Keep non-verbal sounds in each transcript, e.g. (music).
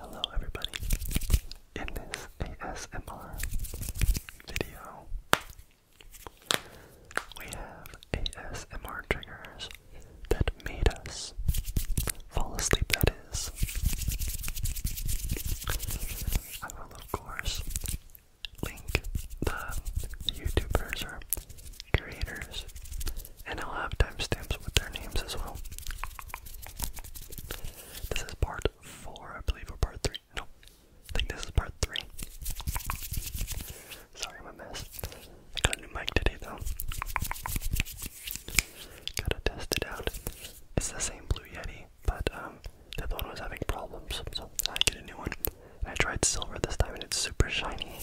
Hello, everybody. In this ASMR video, we have ASMR triggers that made us fall asleep, that is. I will, of course, link the YouTubers or creators and I'll have timestamps with their names as well. This is part four, I believe, or part three. No, I think this is part three. Sorry, I messed. got a new mic today, though. Gotta test it out. It's the same Blue Yeti, but um, the other one was having problems, so I get a new one. And I tried silver this time, and it's super shiny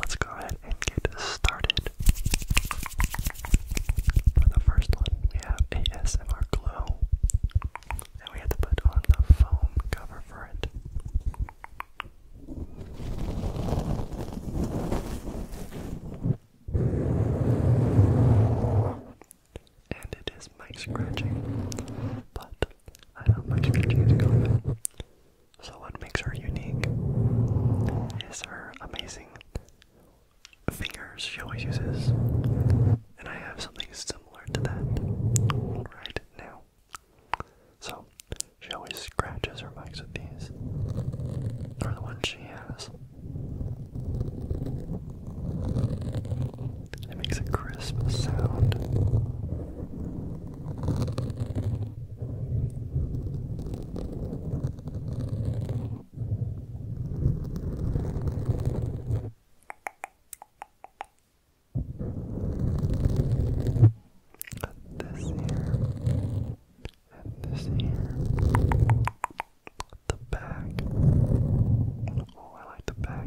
let's go ahead and get started. For the first one, we have ASMR Glow. And we have to put on the foam cover for it. And it is mic scratching, but so what makes her unique is her amazing fingers she always uses. And I have something similar to that right now. So she always scratches her mics with these. Or the ones she has. It makes a crisp sound. This here and this here. The back Oh, I like the back.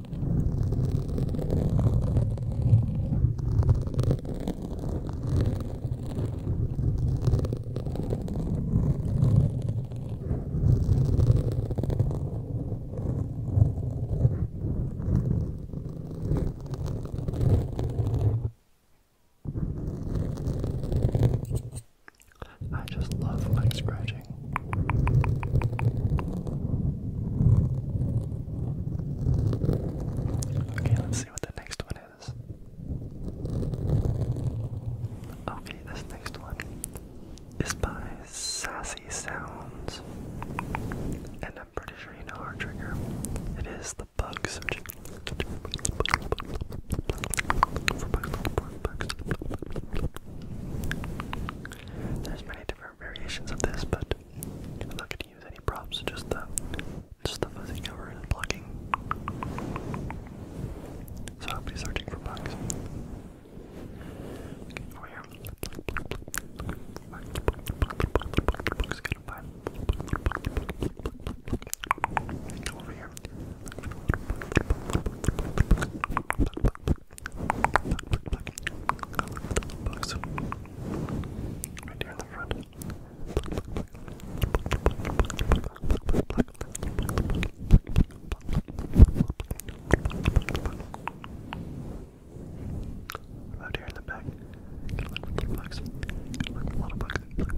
I just love leg scratching. Okay, let's see what the next one is. Okay, this next one is by Sassy Sounds. And I'm pretty sure you know our trigger. It is the bug searching. There's many different variations of this, but I'm not going to use any props, just the, just the fuzzing and plucking. So I'll be searching for bugs. Over here. Bugs. Right here in the front. Right here in the back. Bugs. A lot of bugs. Bugs.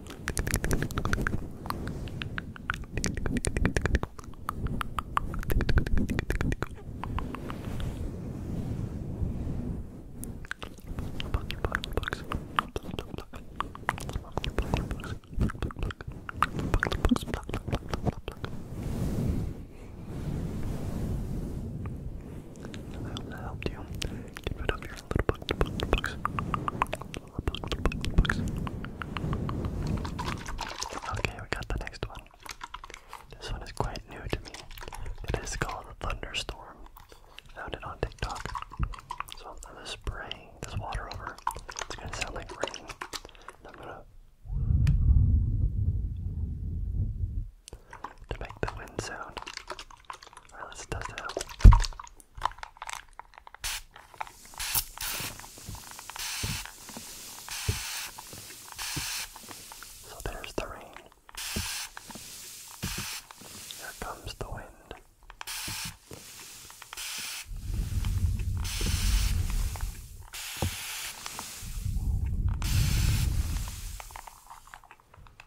I hope that helped you get rid of your little bugs, bugs, bugs. Okay, we got the next one. This one is quite new to me. It is called Thunderstorm. Found it on TikTok. So I'm gonna spray this water over. It's gonna sound like rain. I'm gonna to make the wind sound. Alright, let's so there's the rain. Here comes the wind.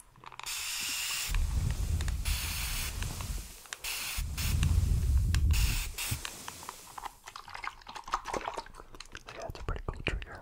Yeah, it's a pretty cool trigger.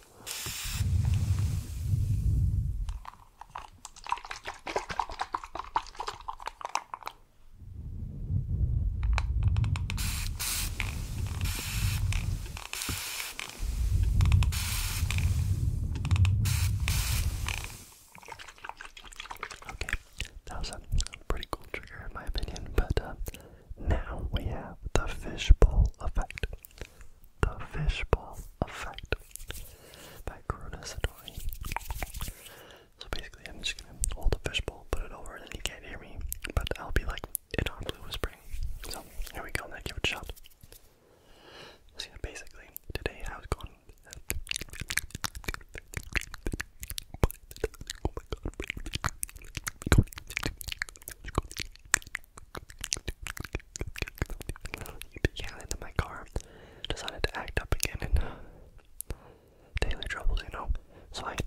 Okay, that was a pretty cool trigger in my opinion, but uh, now we have the fishbowl effect the fishbowl effect by Kuroda Satori. So basically, I'm just gonna hold the fishbowl, put it over, and then you can't hear me, but I'll be like inartfully whispering. So here we go, and I shot. So basically, today I was going yelling in my car, decided to act up again and uh, daily troubles, you know. So I see,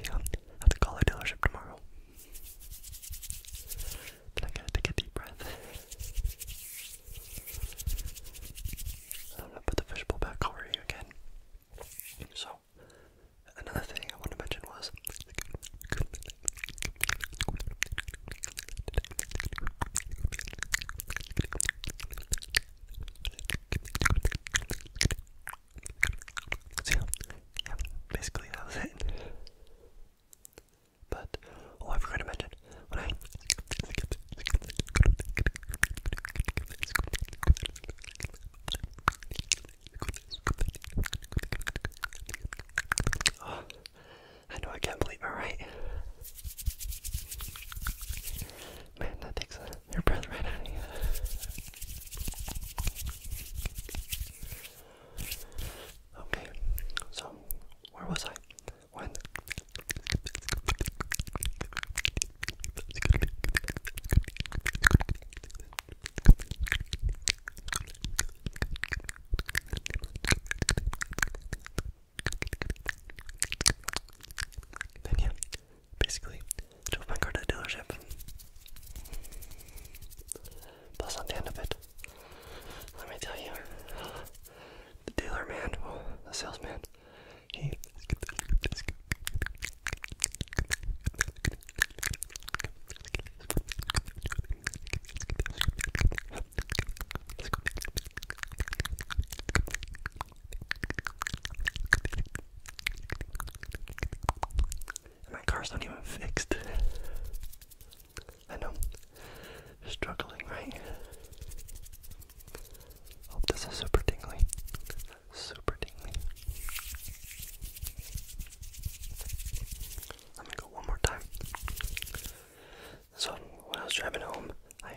i to call the dealership tomorrow. I'm gonna take a deep breath. I'm gonna put the fishbowl back over you again. So, another thing I want to mention was. yeah, basically that was it. But oh, I forgot to mention (gasps) I know I can't believe it, right? Man, that takes your breath right out of you. Okay, so where was I? When? Then yeah, basically drove my car to the dealership. Plus on the end of it, let me tell you, the dealer man, well, the salesman, my car's not even fixed. I know. Struggling, right? Hope this is super tingly. Super tingly. Let me go one more time. So, when driving home, I.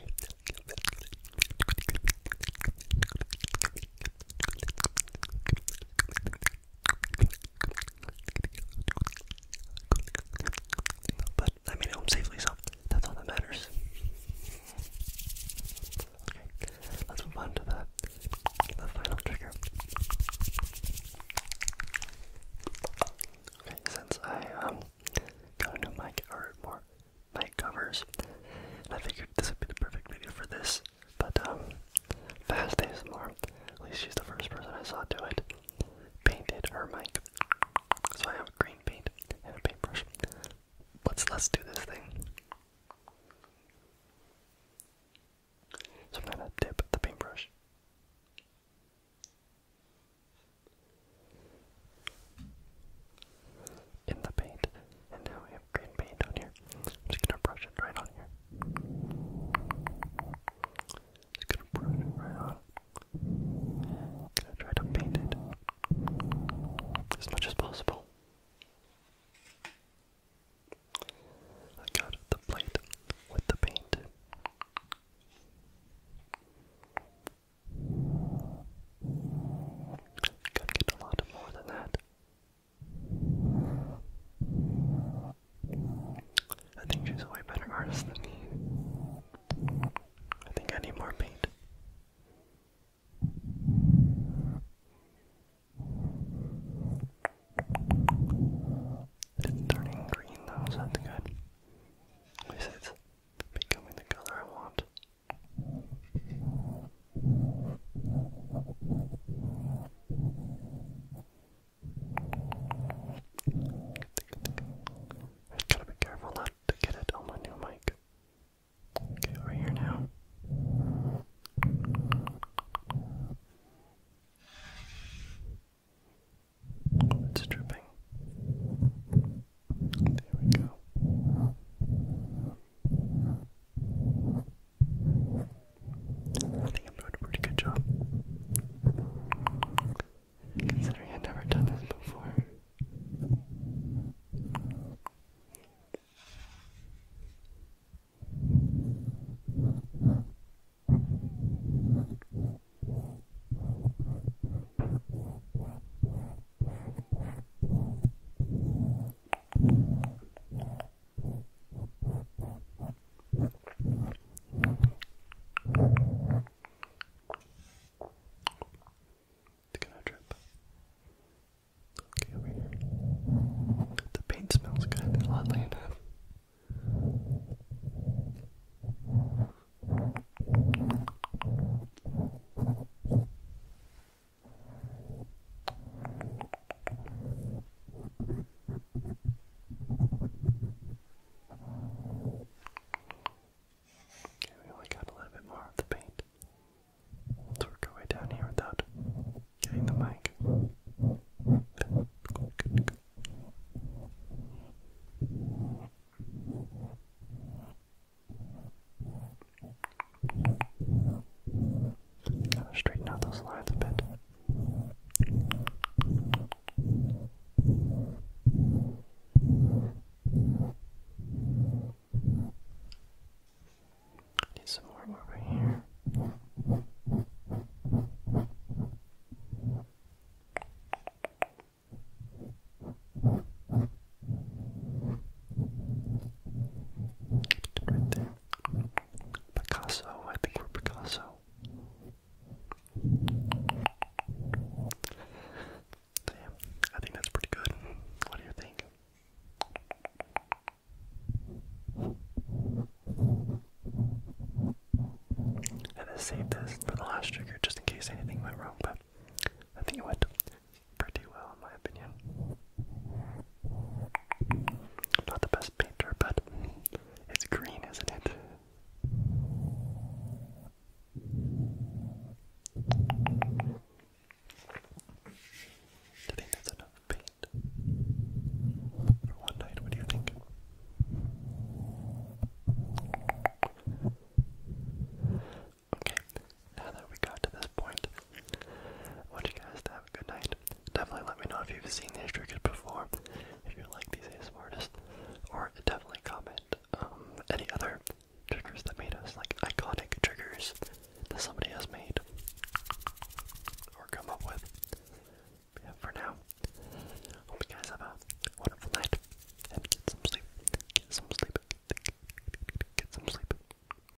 But I made it home safely, so that's all that matters. Okay, let's move on to the, the final trigger. Okay, since I um got a new mic more mic covers, I figured this would be the perfect video for this. But um, fast ASMR. At least she's the first person I saw do it painted her mic. So I have green paint and a paintbrush. Let's let's do this thing. So I'm gonna dip the paintbrush. In the paint, and now we have green paint on here. I'm just gonna brush it right on here. Just gonna brush it right on. Gonna try to paint it as much as possible. I got the plate with the paint. Gotta get a lot more than that. I think she's a way better artist than me. I think I need more paint. turning green though, so that's good. At least becoming the color I want. I gotta be careful not to get it on my new mic. Okay, over here now. it's dripping. There we go. I think I'm doing a pretty good job. Considering I've never done this before. It's gonna drip. Okay, over here. The paint smells good, oddly enough. Okay, we only got a little bit more of the paint. Let's work our way down here without getting the mic straighten out those lines a bit. Need some more over here. Right there. Picasso, I think we're Picasso. So I think that's pretty good. What do you think? And I saved this for the last trigger just in case anything went wrong, but I think it went pretty well in my opinion not the best painter, but it's green, isn't it? I think that's enough paint for one night. What do you think? Okay, now that we got to I want you guys to have a good night. Definitely let me know if you've seen these triggers before, if you like these ASMR artists, or definitely comment um, any other triggers that made us, like iconic triggers that somebody has made or come up with. yeah, for now, hope you guys have a wonderful night and get some sleep. Get some sleep. Get some sleep.